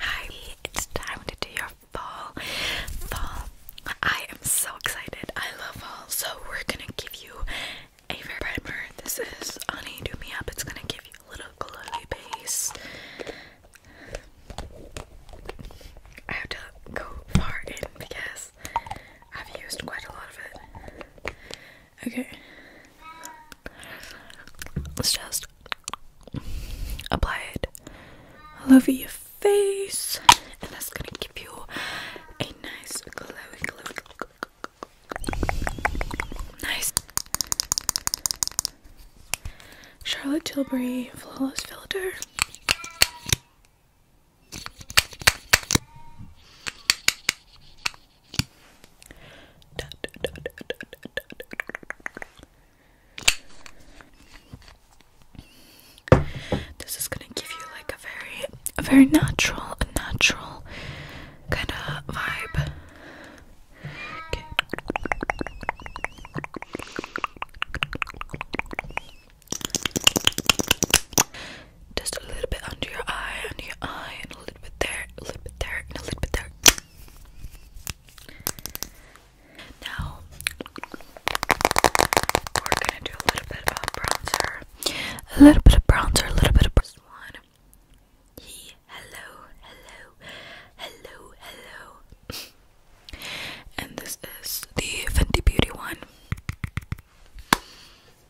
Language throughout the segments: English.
Hi, it's time to do your fall. Fall. I am so excited. I love fall. So we're gonna give you a fair primer. This is Honey Do Me Up. It's gonna give you a little glowy base. I have to go far in because I've used quite a lot of it. Okay. Let's just apply it all over your face, and that's gonna give you a nice glowing, glowing, nice Charlotte Tilbury flawless filter. This is gonna give you like a very, a very natural, natural kind of vibe. Just a little bit under your eye, under your eye, and a little bit there, a little bit there, and a little bit there. Now we're gonna do a little bit of bronzer, a little bit of bronzer, a little bit of bronzer. One. hello, hello, hello, hello. and this is the Fenty Beauty one.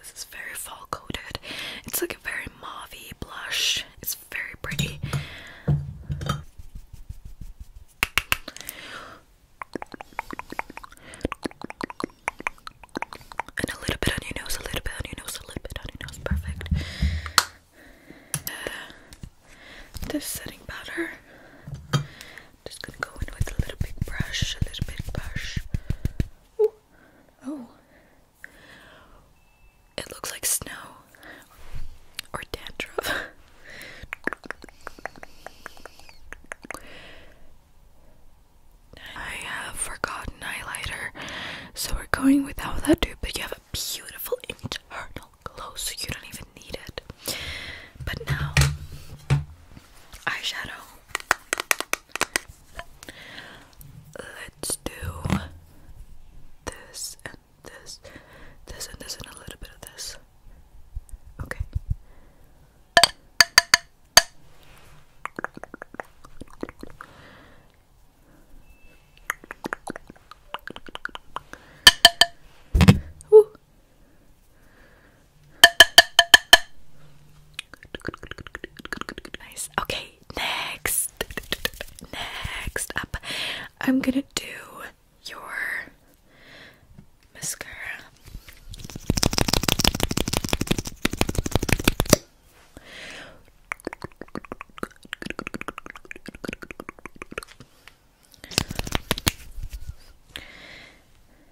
this is very fall coated. It's like a very mauvey blush. It's very pretty. And a little bit on your nose, a little bit on your nose, a little bit on your nose. Perfect. Uh, this setting powder. just gonna go in with a little big brush, a little big brush. Oh. It looks like snow or dandruff. I have forgotten highlighter, so we're going without that too, but you have a beautiful internal glow, so you don't even need it. But now, eyeshadow. Let's do this and this, this and this, and a little bit of this. Okay. Nice. Okay, next. Next up, I'm gonna do your mascara.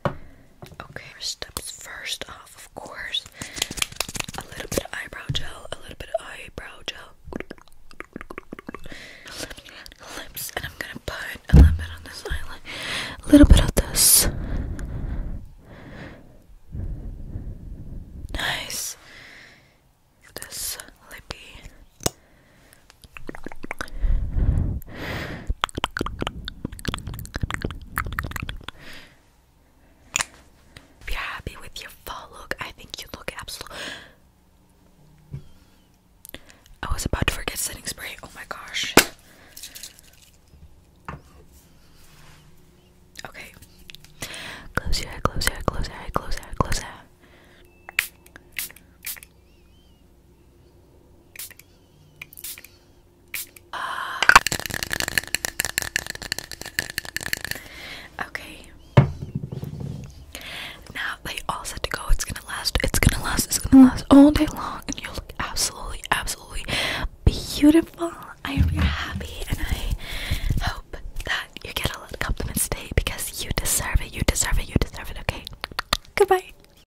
Okay, steps first off, of course, a little bit of eyebrow gel, a little bit of eyebrow gel, lips, and I'm gonna put a little bit on this eyelid, a little bit of this. Nice. This lippy. If you're happy with your fall look, I think you look absolutely. I was about to forget setting spray. Oh my gosh. Okay. Close your eye, close your eye, close your eye, close your eye, close your eye. Ah. okay. Now they all set to go. It's gonna last. It's gonna last. It's gonna last all day long, and you look absolutely, absolutely beautiful. I am happy, and I hope that you get a lot of compliments today because you deserve it. You deserve it. You deserve it. Okay. Goodbye.